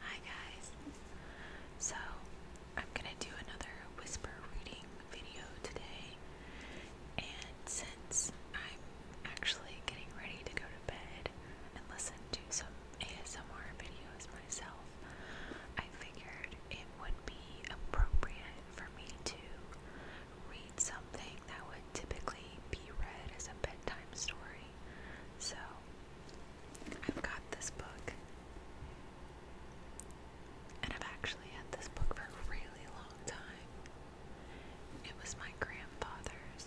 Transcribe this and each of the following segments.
Hi guys. So, I'm going to do another whisper reading video today. And since I'm actually getting ready to go to bed and listen to some ASMR videos myself, I figured it would be appropriate for me to read something that would typically be read as a bedtime story. So I've got this book. And I've actually had this book for a really long time. It was my grandfather's.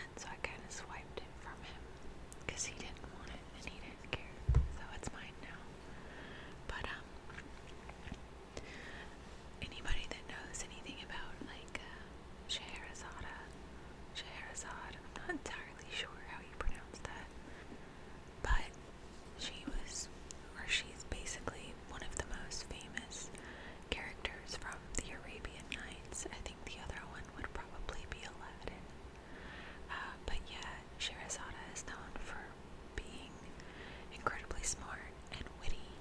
And so I kind of swiped it from him because he didn't want it and he didn't care. So it's mine now. But, um, Anybody that knows anything about like uh, Scheherazade, I'm not entirely sure how you pronounce that, but she was, or she's basically one of the most famous characters from the Arabian Nights. I think the other one would probably be Aladdin. Uh, but yeah, Scheherazade is known for being incredibly smart and witty,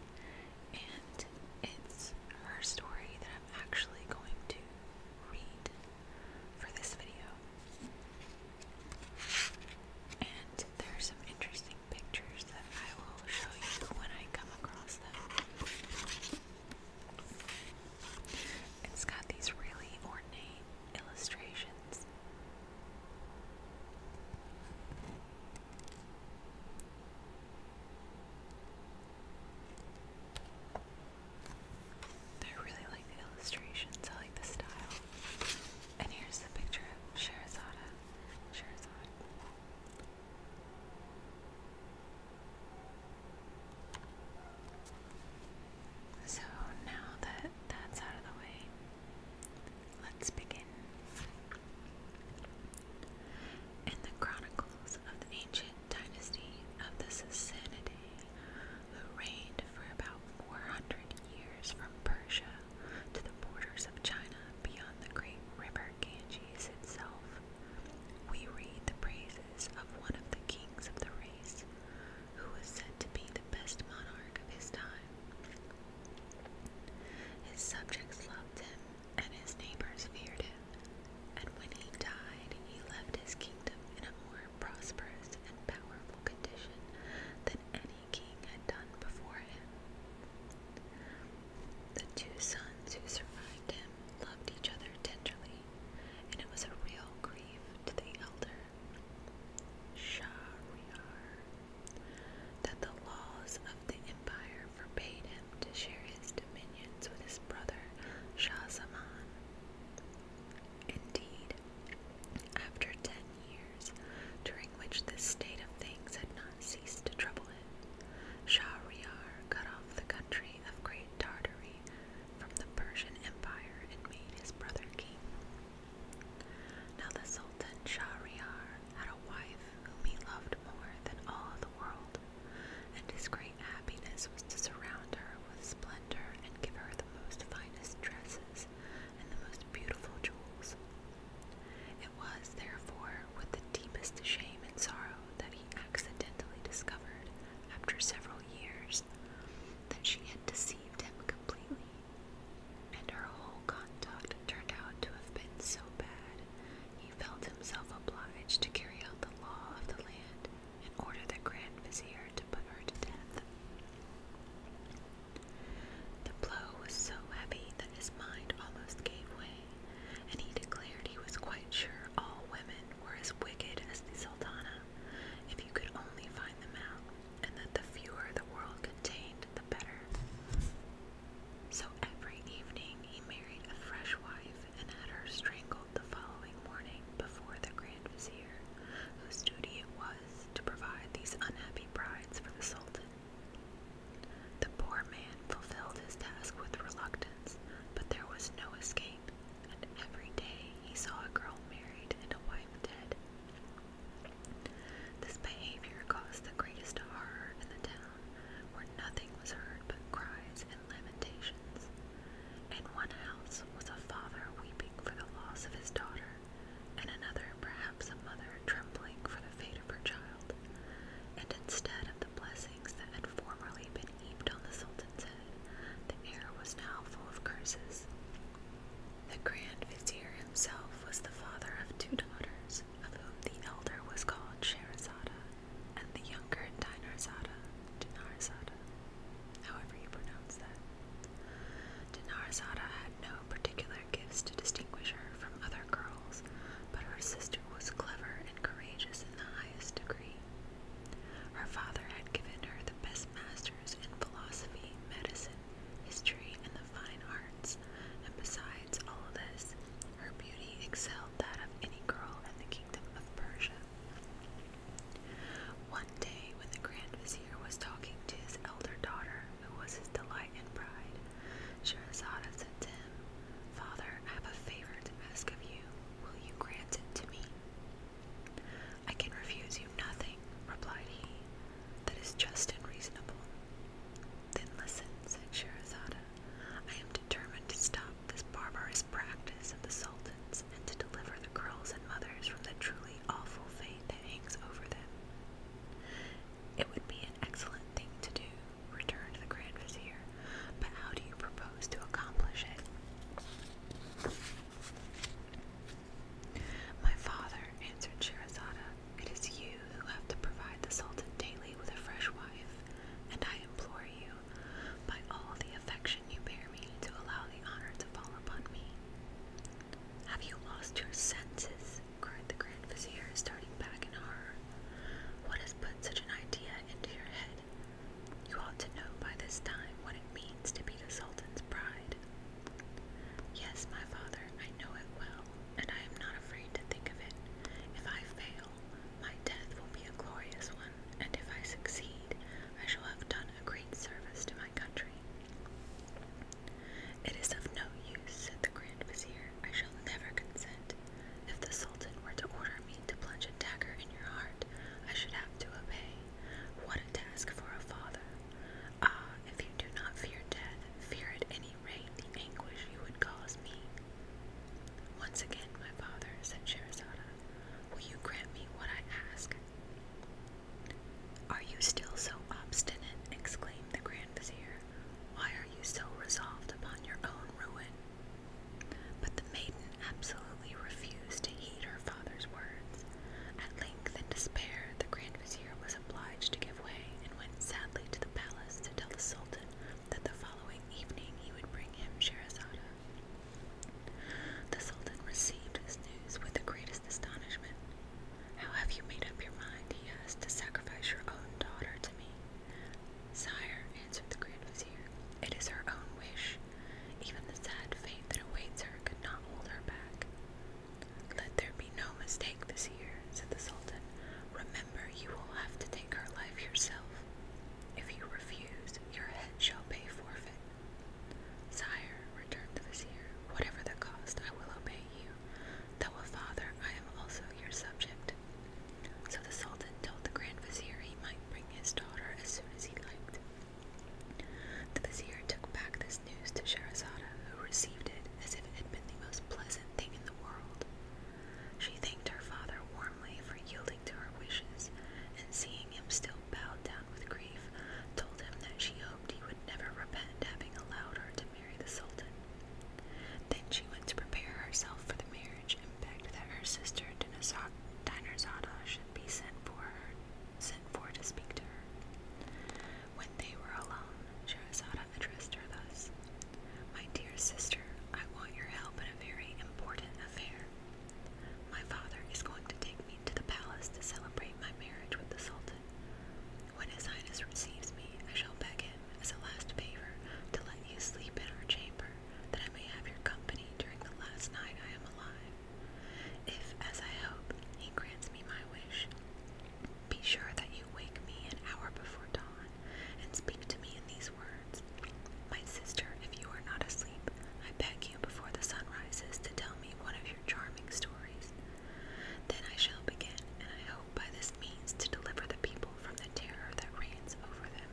and it's her story that I'm actually going to read for this video. And there are some interesting pictures that I will show you when I come across them. It's got these really ornate illustrations I really like the illustrations, I like the style. And here's the picture of Sherazada. Sherazada. So now that that's out of the way, Let's begin. In the chronicles of the ancient dynasty of the Sassanidae, who reigned for about 400 years from Persia to the borders of China beyond the great river Ganges itself, we read the praises of one of the kings of the race, who was said to be the best monarch of his time. His subjects loved him, and his neighbors feared him, and when he died, he left his kingdom in a more prosperous and powerful condition than any king had done before him. The two sons who survived him loved each other tenderly, and it was a real grief to the elder. Shahryar that the laws of the empire forbade him to share his dominions with his brother Shah Zaman. Indeed, after ten years, during which this state of things had not ceased to trouble him, Shahryar cut off the country of Great Tartary from the Persian Empire and made his brother king. Now the Sultan Shahryar had a wife whom he loved more than all the world, and his great happiness was to surround her with splendor and give her the most finest dresses and the most beautiful jewels. It was, therefore, with the deepest shame and sorrow that he accidentally discovered, after several years, that she had deceived him completely and her whole conduct turned out to have been so bad, he felt himself obliged to carry out the law of the land and order the Grand Vizier to put her to death. The blow was so heavy that his mind almost gave way, and he declared he was quite sure all women were as wicked as the Sultana, if you could only find them out and that the fewer the world contained, the better. So every evening he married a fresh wife and had her strangled the following morning before the Grand Vizier, whose duty it was to provide these unhappy brides for the Sultan. The poor man fulfilled his task with reluctance, but there was no escape, and every day he saw a girl married and a wife dead. This behavior caused the greatest horror in the town, where nothing was heard but cries and lamentations. In one house was a father weeping for the loss of his daughter, and another, perhaps a mother, trembling for the fate of her child. And instead of the blessings that had formerly been heaped on the Sultan's head, the air was now full of curses. The Grand Vizier himself was the father of two daughters, of whom the elder was called Sherazada, and the younger Dinarzada, Dinarzada, however you pronounce that. Dinarzada had no particular gifts to distinguish her from other girls, but her sister was clever and courageous in the highest degree. Her father had given her the best masters in philosophy, medicine, history, and the fine arts, and besides all this, her beauty excelled that of any girl in the kingdom of Persia. One day, when the Grand Vizier was talking to his elder daughter, who was his delight and pride, Sherazada said to him, Father, I have a favor to ask of you. Will you grant it to me? I can refuse you nothing, replied he, that is just and reasonable. Then listen, said Scheherazade. I am determined to stop this barbarous practice of the sultans and to deliver the girls and mothers from the truly awful fate that hangs over them. It would be an excellent thing to do, returned the Grand Vizier, but how do you propose to accomplish it? My father, answered Shirazada, it is you who have to provide the Sultan daily with a fresh wife, and I implore you, by all the affection you bear me, to allow the honor to fall upon me. Have you lost your senses? cried the Grand Vizier, starting back in horror. What has put such an idea into your head? You ought to know by this time what it means to be the Sultan's bride. Yes, my Father, I know it well, and I am not afraid to think of it. If I fail, my death will be a glorious one, and if I succeed, I shall have done a great service to my country. It is of no use, said the Grand Vizier. I shall never consent. If the Sultan were to order me to plunge a dagger in your heart, I should have to obey. What a task for a father! Ah, if you do not fear death, fear at any rate the anguish you would cause me. Once again, my father, said Sherazada, will you grant me what I ask? Are you still so obstinate? exclaimed the Grand Vizier. Why are you so resolved upon your own ruin? But the maiden absolutely refused to heed her father's words. At length despair, the Grand Vizier was obliged to give way and went sadly to the palace to tell the Sultan that the following evening he would bring him Sherazada. The Sultan received this news with the greatest astonishment. How have you made up your mind, he asked, to sacrifice your own daughter to me? Sire, answered the Grand Vizier, it is her own wish. Even the sad fate that awaits her could not hold her back. Let there be no mistake, Vizier, said the Sultan. Remember, you will have to take her life yourself. If you refuse, your head shall pay forfeit. Sire, returned the Vizier, whatever the cost, I will obey you. Though a father, I am also your subject. So the Sultan told the Grand Vizier he might bring his daughter as soon as he liked. The Vizier took back the news to Sherazada, who received it as if it had been the most pleasant thing in the world. She thanked her father warmly for yielding to her wishes, and seeing him still bowed down with grief, told him that she hoped he would never repent having allowed her to marry the Sultan. Then she went to prepare herself for the marriage and begged that her sister Dinazada should be sent for her, sent for to speak to her. When they were alone, Sherazada addressed her thus, My dear sister, I want your help in a very important affair. My father is going to take me to the palace to celebrate my marriage with the Sultan. When His Highness receives me, I shall beg him, as a last favor, to let you sleep in our chamber, that I may have your company during the last night I am alive. If, as I hope, he grants me my wish, be sure that you wake me an hour before dawn and speak to me in these words. My sister, if you are not asleep, I beg you before the sun rises to tell me one of your charming stories. Then I shall begin, and I hope by this means to deliver the people from the terror that reigns over them.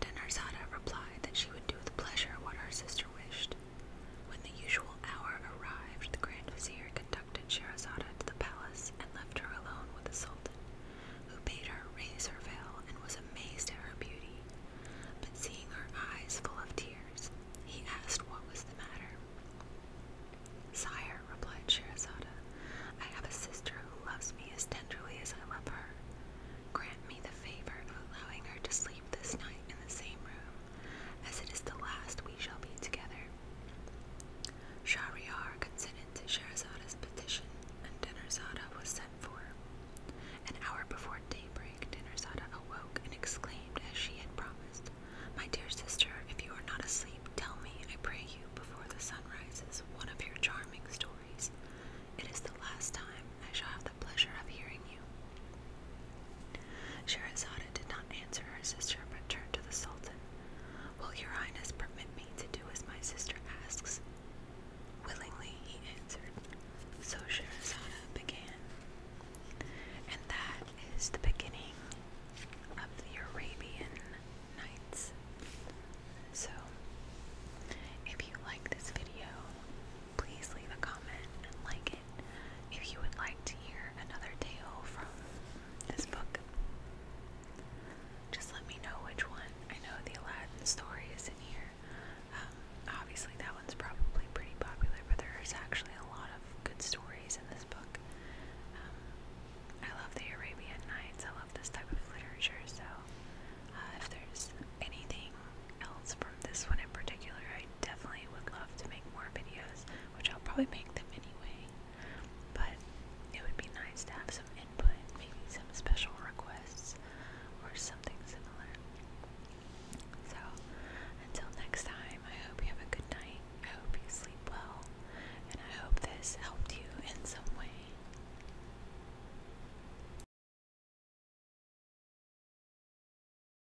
Dinarzada replied that she would do with pleasure what her sister wished. When the usual hour arrived, the Grand Vizier conducted Sherazada to the palace and left her alone with the Sultan, who bade her raise her veil and was amazed at her beauty. But seeing her eyes full of tears, he asked what was the matter. Sire, replied Sherazada, I have a sister who loves me as tenderly as I love her. Grant me the favor of allowing her to sleep this night in the same room as it is the last we shall be together. Shahryar consented to Shahrazada's petition, and Dinarzada was sent for. An hour before daybreak, Dinarzada awoke and exclaimed as she had promised, My dear sister, if you are not asleep, tell me, I pray you, before the sun rises, one of your charming stories. It is the last time I shall have the." the pleasure of hearing you. Sherazada did not answer her sister, but turned to the Sultan. Will your highness permit me to do as my sister asks? Willingly, he answered. So Sherazada began. And that is the beginning of the Arabian Nights. So, if you like this video, please leave a comment and like it it. If you would like to hear another tale from this book, just let me know which one. I know the Aladdin story is in here. Um, obviously, that one's probably pretty popular, but there's actually a lot of good stories in this book. Um, I love the Arabian Nights. I love this type of literature. So, uh, if there's anything else from this one in particular. I definitely would love to make more videos, which I'll probably make them anyway. But it would be nice to have some input, maybe some special requests or something similar. So, until next time, I hope you have a good night. I hope you sleep well, and I hope this helped you in some way.